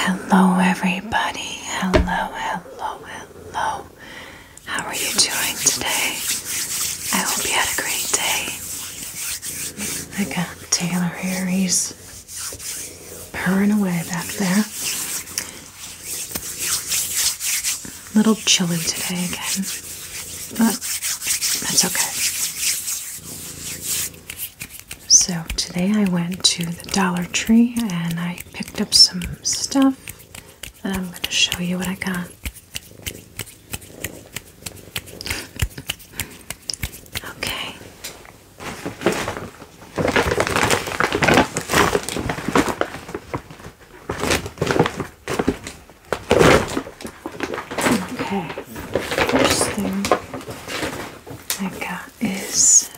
Hello, everybody. Hello, hello, hello. How are you doing today? I hope you had a great day. I got Taylor here. purring away back there. A little chilly today again, but that's okay. So today I went to the Dollar Tree and I picked up some stuff and I'm going to show you what I got. Okay. Okay, first thing I got is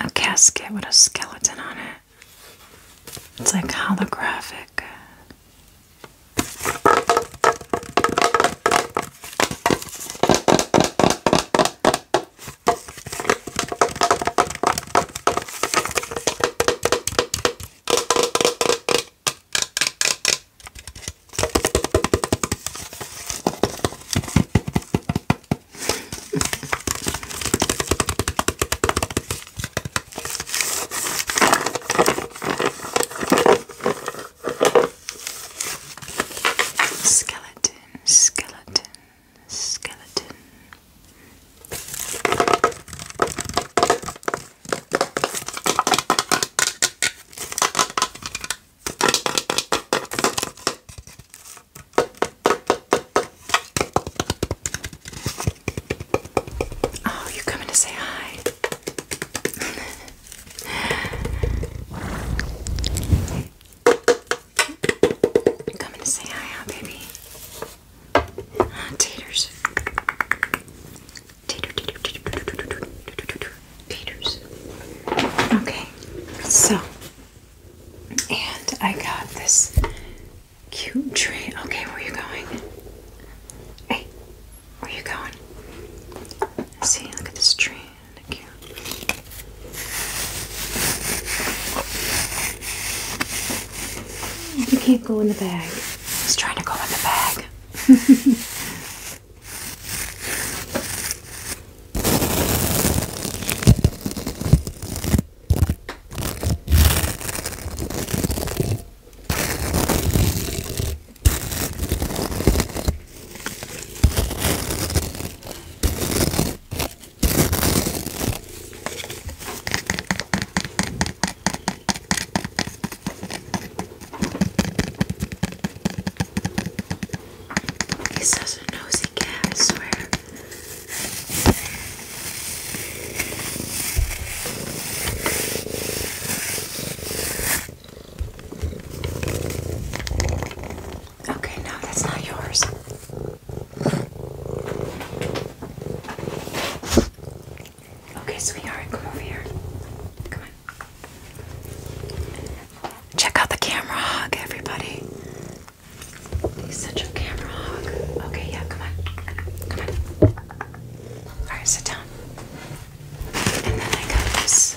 a casket with a skeleton on it. It's like holographic skeleton, skeleton, skeleton. Oh, you're coming to say hi. you're coming to say hi, huh, baby? Taters. Tater, tater, tater, tater, taters. Okay, so, and I got this cute tree. Okay, where are you going? Hey, where are you going? See, look at this tree. Thank you. You can't go in the bag. He's trying to go in the bag. He's such a nosy cat, I swear. Okay, no, that's not yours. Okay, so we are. come over here. Come on. Check out the camera hog, everybody. He's such a camera hog. Okay, yeah, come on. Come on. Alright, sit down. And then I got this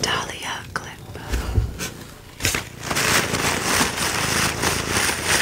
Dahlia clip.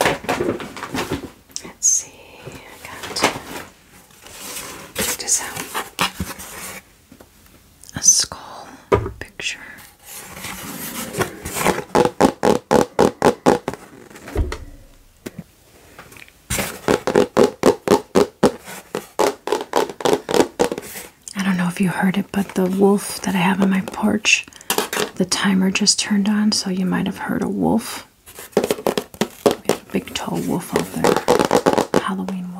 Let's see, I got check this out. A skull picture. I don't know if you heard it, but the wolf that I have on my porch, the timer just turned on, so you might have heard a wolf. We have a big tall wolf out there. Halloween wolf.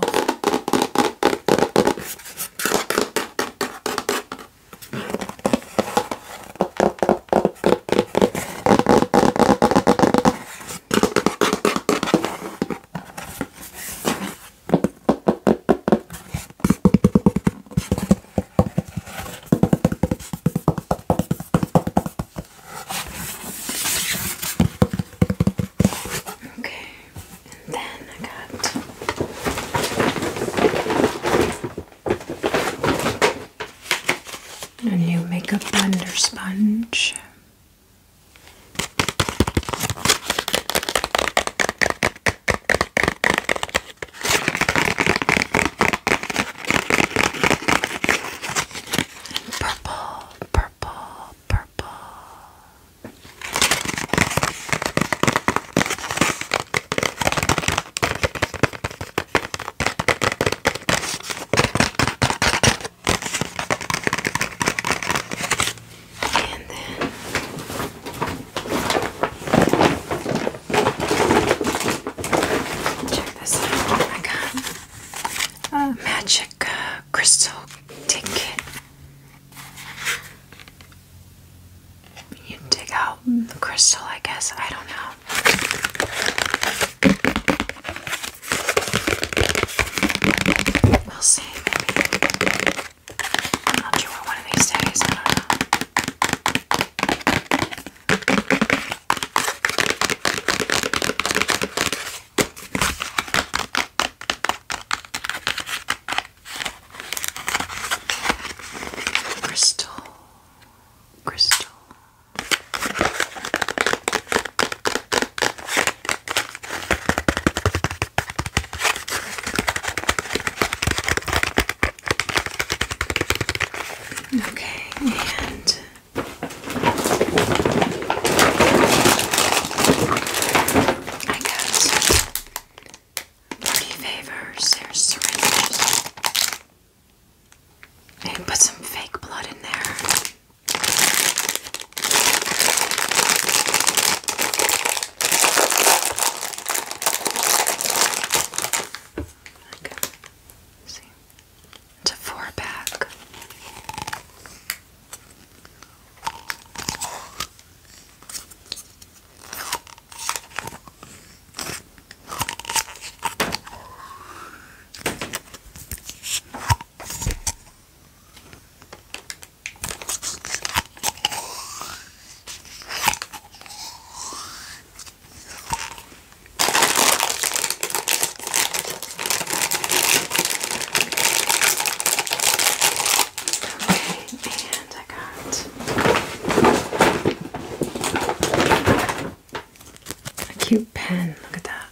Okay, and then I got a new makeup blender sponge. Purple, purple, purple. And then Check this out. I oh got a magic uh, crystal ticket. You dig out the crystal, I guess. I don't know. We'll see. I'm not sure one of these days. I don't know. Crystal, crystal. Okay, and I guess party favors, there's syringes. And put some fake blood in there. Like see, it's a four pack and I got a cute pen. Look at that.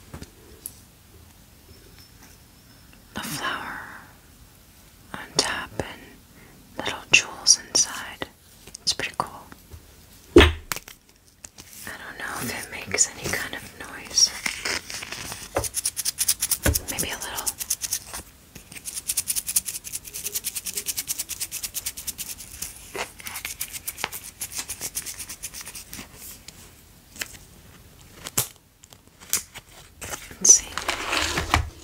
A flower on top and little jewels inside. It's pretty cool. I don't know if it makes any kind of noise. Maybe a little. Let's see.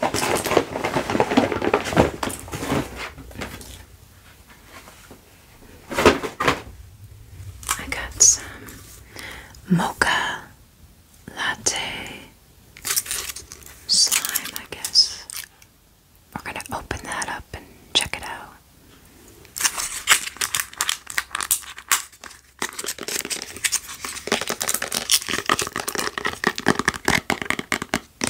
I got some mocha latte slime, I guess. We're going to open that up and check it out.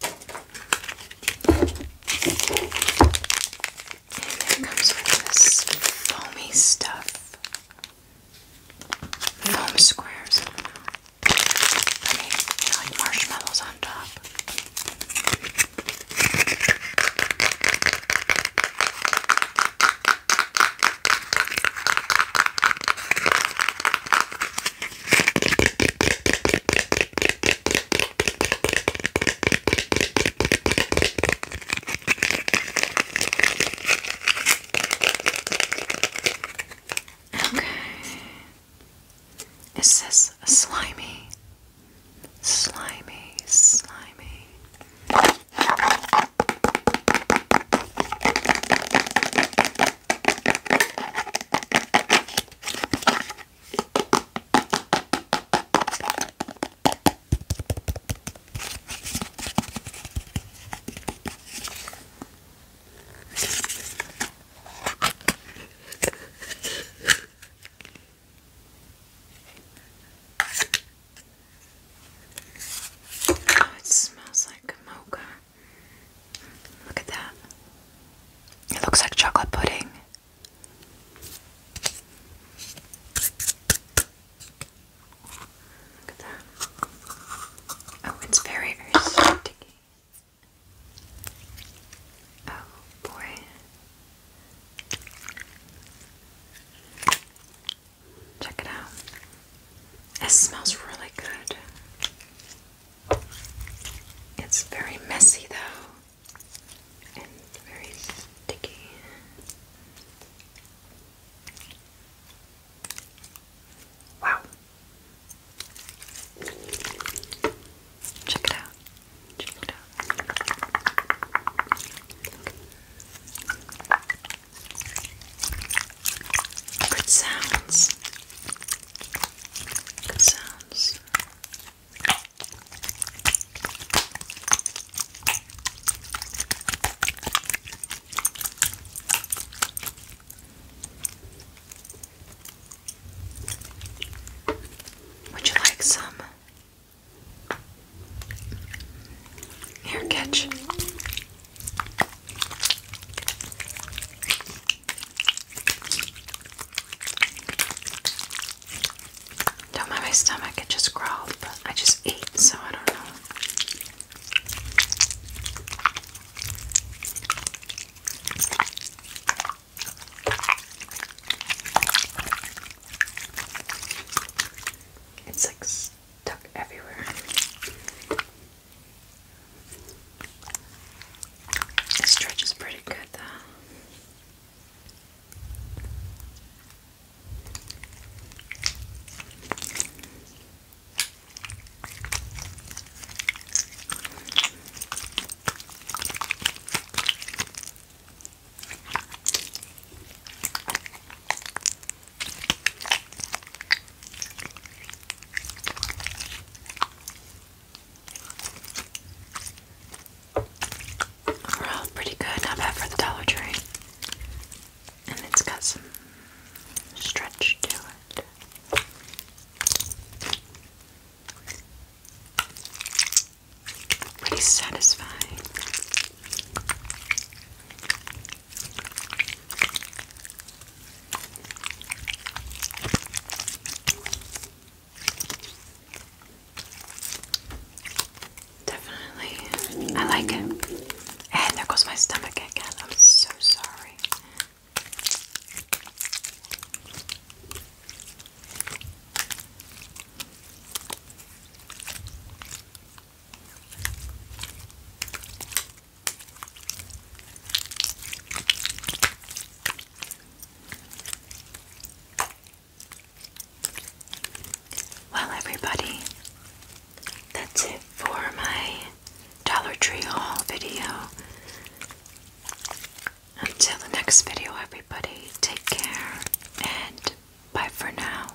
And there comes all this foamy stuff. Foam squares. I mean, they're like marshmallows on top. Okay. Is this slimy? Slimy, slimy. Oh, it smells like mocha. Look at that. It looks like chocolate pudding. Look at that. Oh, it's very, very sticky. Oh, boy. Check it out. It smells really good. It's very messy though, and very sticky. Wow. Check it out. Check it out. Good sounds. Good sounds. Would you like some? Here, catch. Don't mind my stomach, it just growled, but I just ate, so I don't know. It's like stuck everywhere. This stretch is pretty good though pretty good. Not bad for the Dollar Tree. And it's got some stretch to it. Pretty satisfying. Definitely. I like it. And there goes my stomach again. I'm so sorry. Well, everybody, that's it for my Dollar Tree haul video. Until the next video, everybody, take care and bye for now.